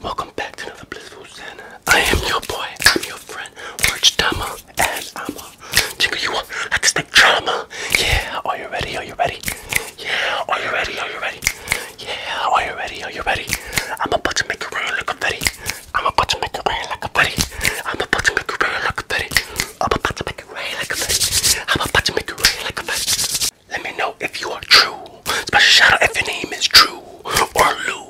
Welcome back to another blissful I am your boy. I'm your friend. Orange Tama. And I'm a jingle you up like a stick drama. Yeah, are you ready? Are you ready? Yeah, are you ready? Are you ready? Yeah, are you ready? Are you ready? I'm about to make it rain like a petty. I'm about to make it rain like a petty. I'm about to make it rain like a petty. I'm about to make it rain like a petty. I'm about to make it rain like a petty. Let me know if you are true. Special shout if your name is True or Lou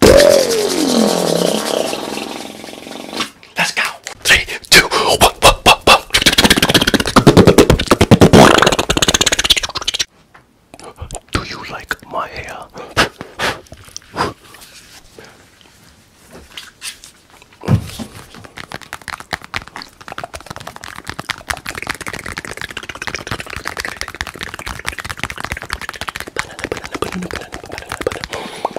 Let's go. Three, two, one, one, one, one. Do you like my hair?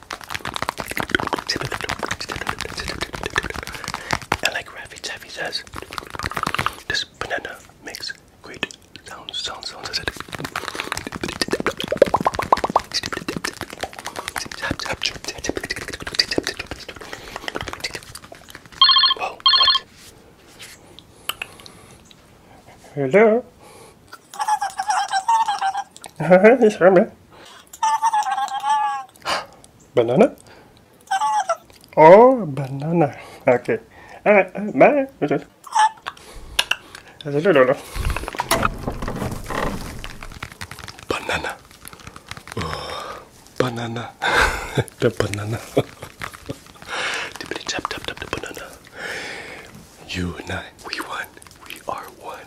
And like Rafi Taffy says, this banana makes great sounds, sounds, sounds. I said, Whoa, what? Hello? banana? Oh, banana. Okay. Alright, uh, Banana. Oh, banana. the banana. tap tap tap the banana. You and I, we won. We are one.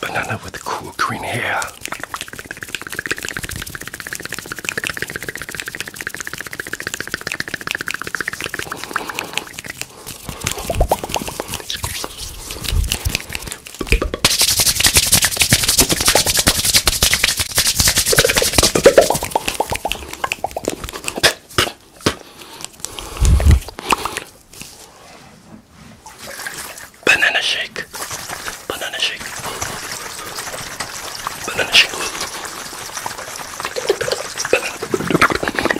Banana with the cool green hair. Banana Shake, Banana Shake, Banana Shake, Banana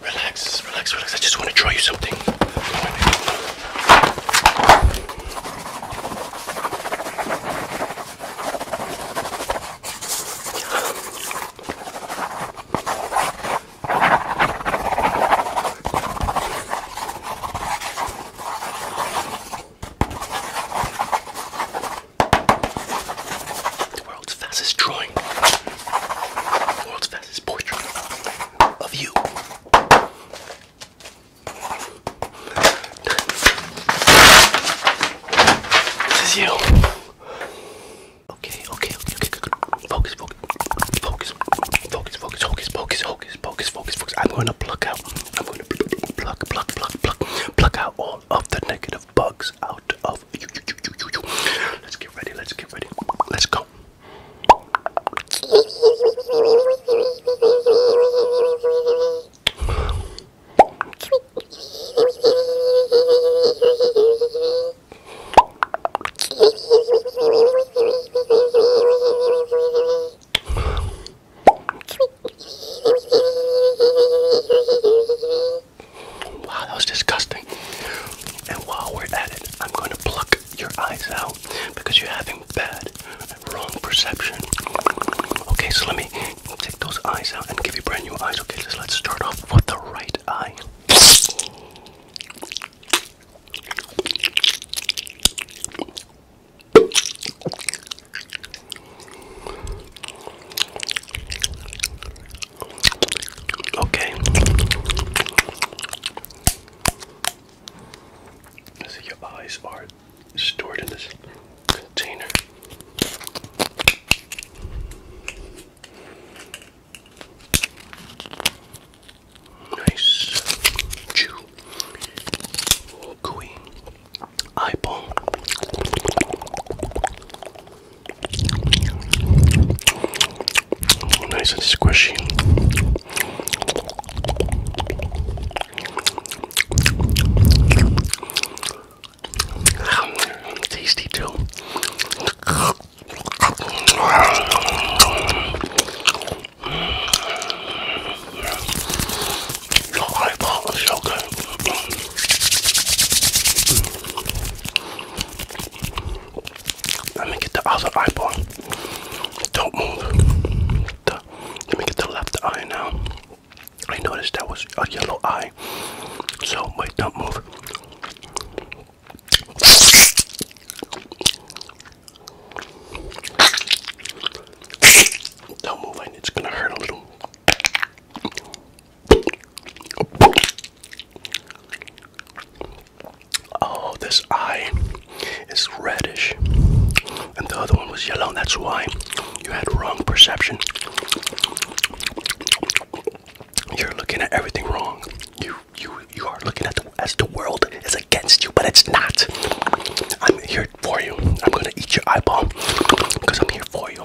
Relax, relax, relax. I just want to draw you something. The world's fastest drawing. The world's fastest portrait of you. This is you. Okay, okay, okay, okay, good. Focus, focus, focus, focus, focus, focus, focus, focus, focus, focus, focus. I'm gonna pluck out. I'm gonna pluck, pluck, pluck, pluck, pluck out all of the negative bugs. Let's get ready. Let's get ready. Let's go. Wow, that was disgusting. And while we're at it, I'm going to pluck your eyes out because you're having bad wrong perception. Okay, so let me take those eyes out and give you brand new eyes. Okay, let's start off with the right eye. Okay. your eyes are stored in this container. Nice chew. Gooey eyeball. Nice and squishy. Mm, tasty too. The eyeball is Hmm. Let me get the other eyeball. Don't move. let me get the left eye now. I noticed that was a yellow eye. So, wait, don't move. Don't move, and it's gonna hurt a little. Oh, this eye is reddish, and the other one was yellow, and that's why you had wrong perception. You're looking at everything wrong. You you you are looking at the as the world is against you, but it's not. I'm here for you. I'm gonna eat your eyeball because I'm here for you.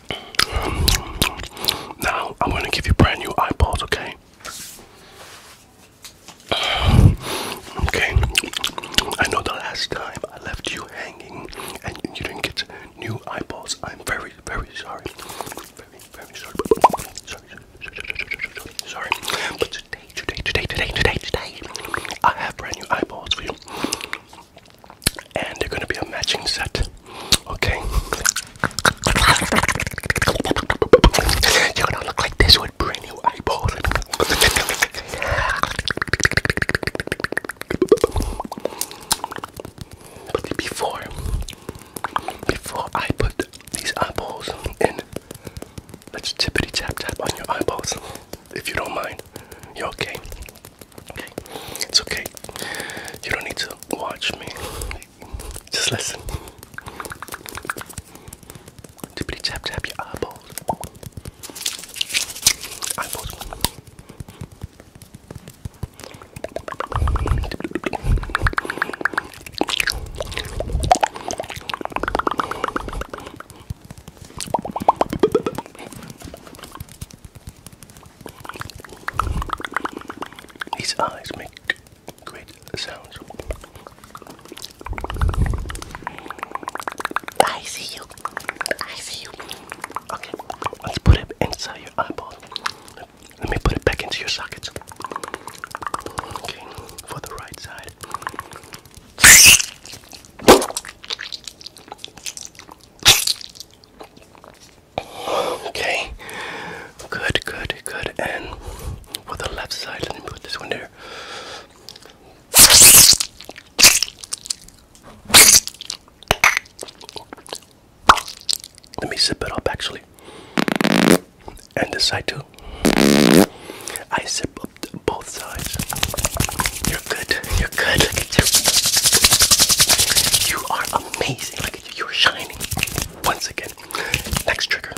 Um, now I'm gonna give you brand new eyeballs, okay? Okay. I know the last time I left you hanging and you didn't get new eyeballs. I'm very, very sorry. Very, very sorry. Sorry, sorry, sorry. But today, today, today, today, today, today, I have brand new eyeballs for you and they're gonna be a matching set. Okay. You're gonna look like this with brand new eyeballs. But before, before I put these eyeballs in, let's tippity tap tap on your eyeballs, if you don't mind. You okay? it's okay. You don't need to watch me. Just listen. Tippity tap tap your eyeballs. Eyeballs. These eyes make great sounds. I see you. I see you. Okay, let's put it inside your eyeball. Let me put it back into your sockets. Okay, for the right side. Okay. Good, good, good. And with the left side, let me put this one here. Let me zip it up actually. And this side too. I zip up both sides. You're good. You're good. Look at you. You are amazing. Look you, are shining. Once again, next trigger.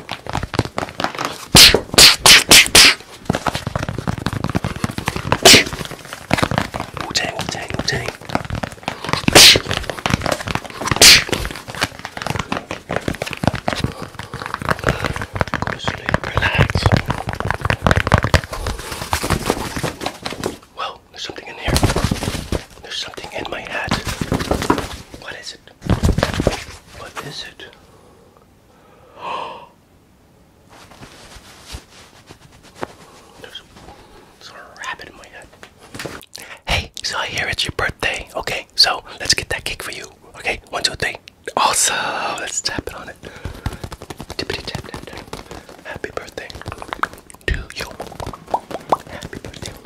Wu Tang, Wu Tang, Wu Tang. Go to sleep, relax. Well, there's something in here. There's something in my hat. What is what is it? There's a rabbit in my head. Hey, so I hear it's your birthday. Okay, so let's get that cake for you. Okay, one, two, three. Also, Let's tap it on it. Happy birthday to you. Happy birthday happy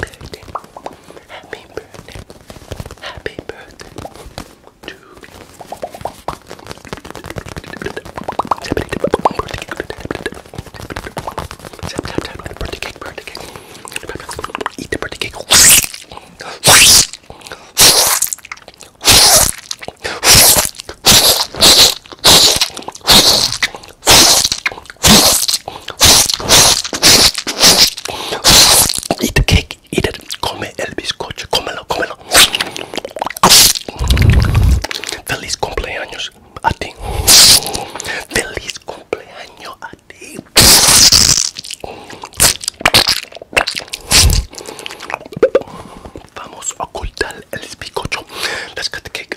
birthday, happy birthday, happy birthday Eat the birthday cake. Eat the cake, eat it. Come el bizcocho, cómelo, cómelo. Feliz cumpleaños a ti. Feliz cumpleaños a ti. Vamos a ocultar el bizcocho. Let's cut the cake.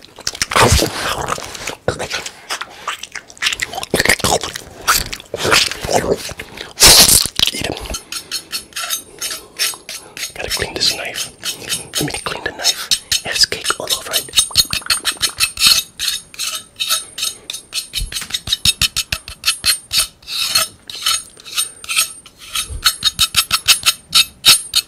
Eat him. Gotta clean this knife. Let me clean the knife. It has cake all over it.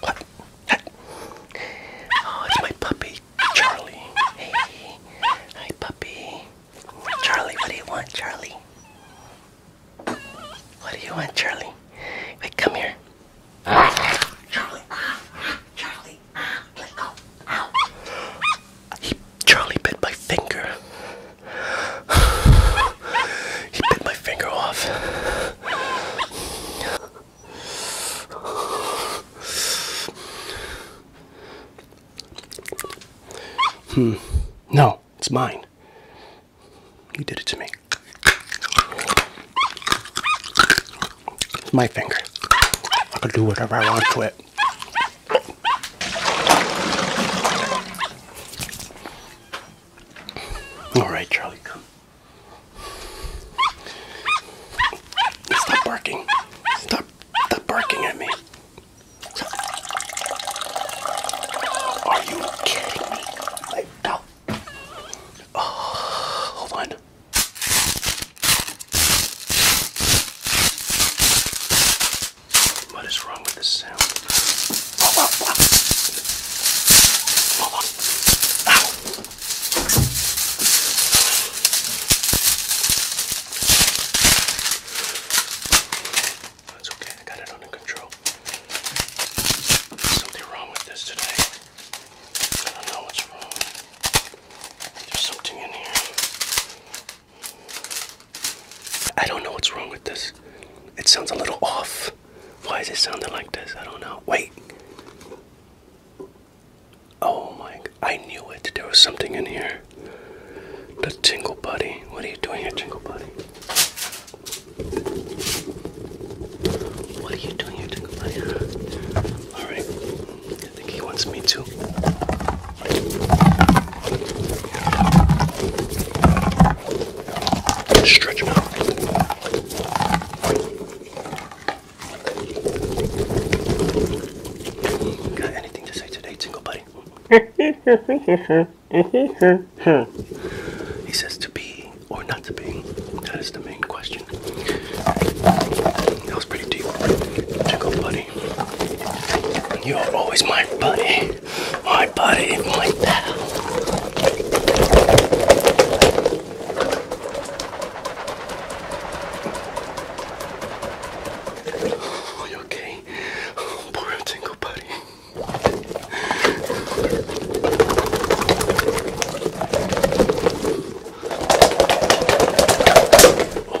What? Oh, it's my puppy, Charlie. Hey, hi, puppy. Charlie, what do you want, Charlie? What do you want, Charlie? Wait, come here. Charlie, Charlie, let go. Ow. He, Charlie bit my finger he bit my finger off. Hmm. No, it's mine. You did it to me. It's my finger. I can do whatever I want to it. All right, Charlie, come. Stop barking. Stop, stop barking at me. Are you kidding me? Wait, no. Oh, hold on. What is wrong with this sound? That's okay, I got it under control. something wrong with this today. I don't know what's wrong. There's something in here. I don't know what's wrong with this. It sounds a little off. Why is it sounding like this? I don't know. Wait. Oh my, I knew it. There was something in here. The Tingle Buddy. What are you doing here, Tingle Buddy? What are you doing here, Tingle Buddy? Alright. I think he wants me too. Stretch them out. Got anything to say today, Tingle Buddy? he says to be or not to be. That is the main question. That was pretty deep. Tingle Buddy you are always my buddy. My buddy, my pal. Are you okay? Poor and buddy.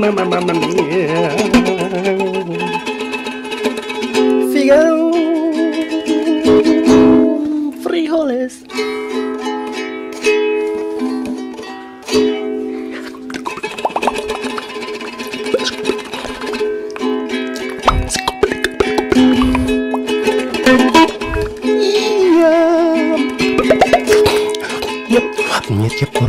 mamma, mama mia. Figaro, frijoles. Yep, yep, yep,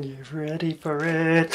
Get ready for it.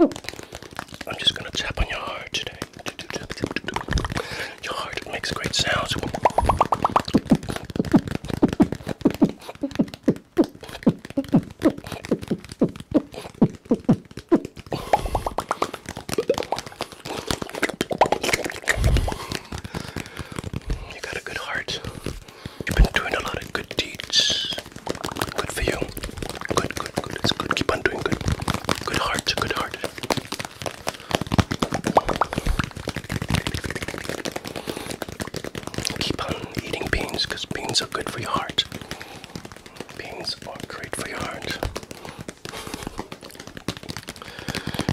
I'm just going to tap on your heart today. Your heart makes great sounds. You got a good heart. You've been doing a lot of good deeds. Good for you. Good, good, good. It's good. Keep on doing good. Good heart, good heart. Keep on eating beans beans are good for your heart. Beans are great for your heart.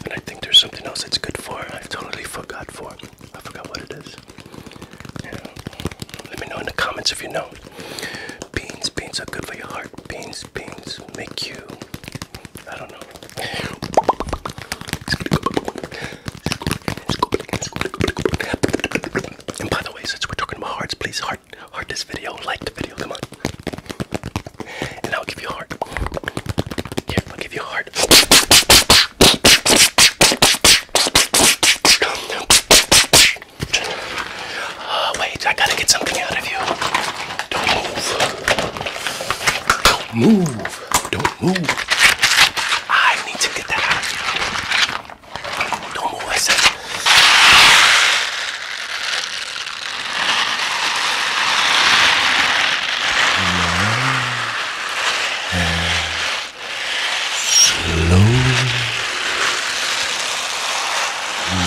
And I think there's something else that's good for. I totally forgot for. I forgot what it is. Let me know in the comments if you know. Beans, beans are good for your heart. Beans, beans make you. I don't know. And by the way, since we're talking about hearts, please heart, heart this video, like the video, come on. And I'll give you a heart. I'll give you a heart. Uh, wait, I gotta get something out of you. Don't move. Don't move. Don't move. I need to get that out of you. Don't move, Slow. You're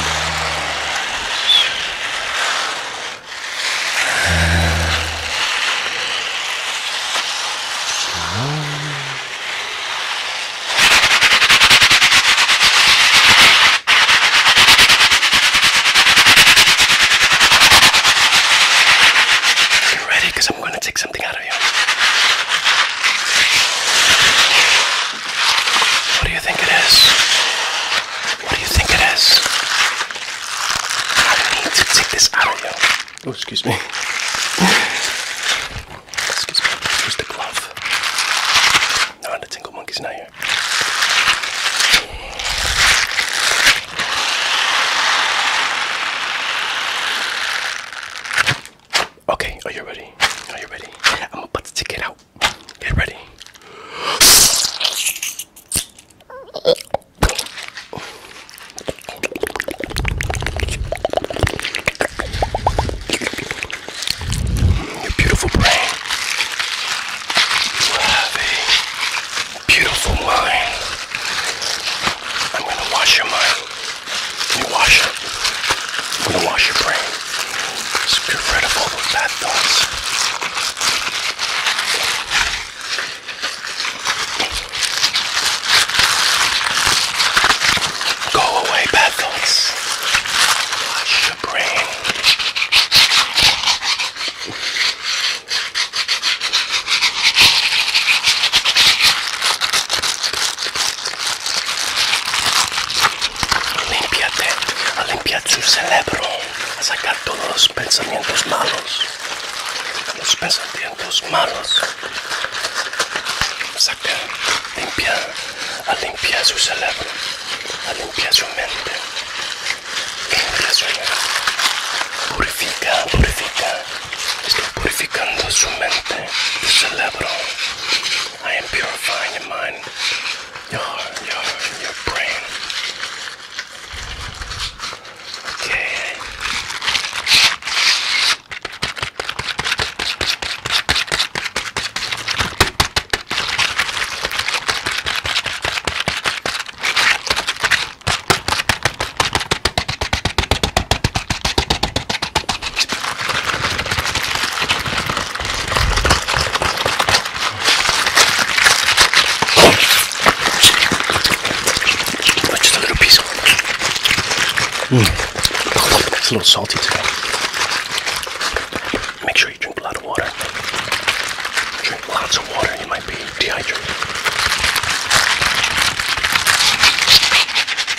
ready because I'm going to take something out of you. What do you think it is? What do you think it is? I need to take this out of you. Oh, excuse me. excuse me. Where's the glove? No, the tingle monkey's not here. Okay, are you ready? Are you ready? I'm about to take it out. Get ready. Your beautiful brain. beautiful mind. I'm gonna wash your mind. You wash your, you wash your brain. get rid of all those bad thoughts. Go away, bad thoughts. Wash your brain. Limpiate, a limpiar tu cerebro, a sacar todos los pensamientos malos, los pensamientos malos. Saca, limpia, a limpiar su cerebro, a limpiar su mente, limpia su mente. Purifica, purifica, está purificando su mente, cerebro. I am purifying your mind, your your your brain. Okay. But just a little piece of mm. It's a little salty today. Make sure you drink a lot of water. Drink lots of water, you might be dehydrated.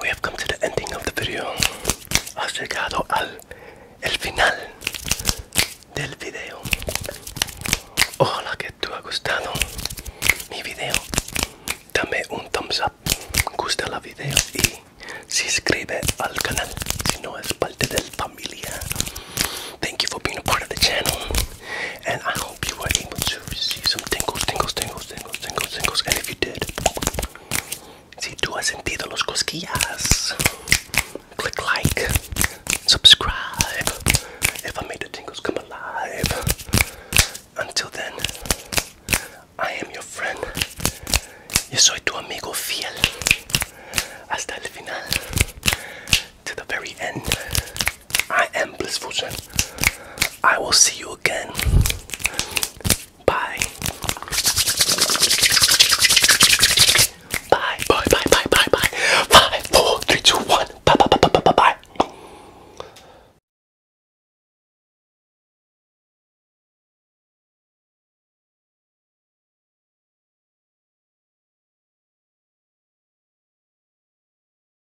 we have come to the ending of the video. Has llegado al el final del video. Ojalá que te ha gustado mi video. Dame un thumbs up, gusta la video y suscribe al canal si no es parte del familia. Thank you for being a part of the channel and I hope hope some tingles, tingles, tingles, tingles, tingles, tingles. And if you did, si tú has sentido los cosquillas, click like, subscribe. If I made the tingles come alive. Until then, I am your friend. Yo soy tu amigo fiel. Hasta el final. To the very end. I am Blissful I will see you again. Bye. Bye. Bye. Bye. Bye. Bye. Bye. Five, four, three, two, one. Bye. Bye. Bye. Bye. Bye. Bye.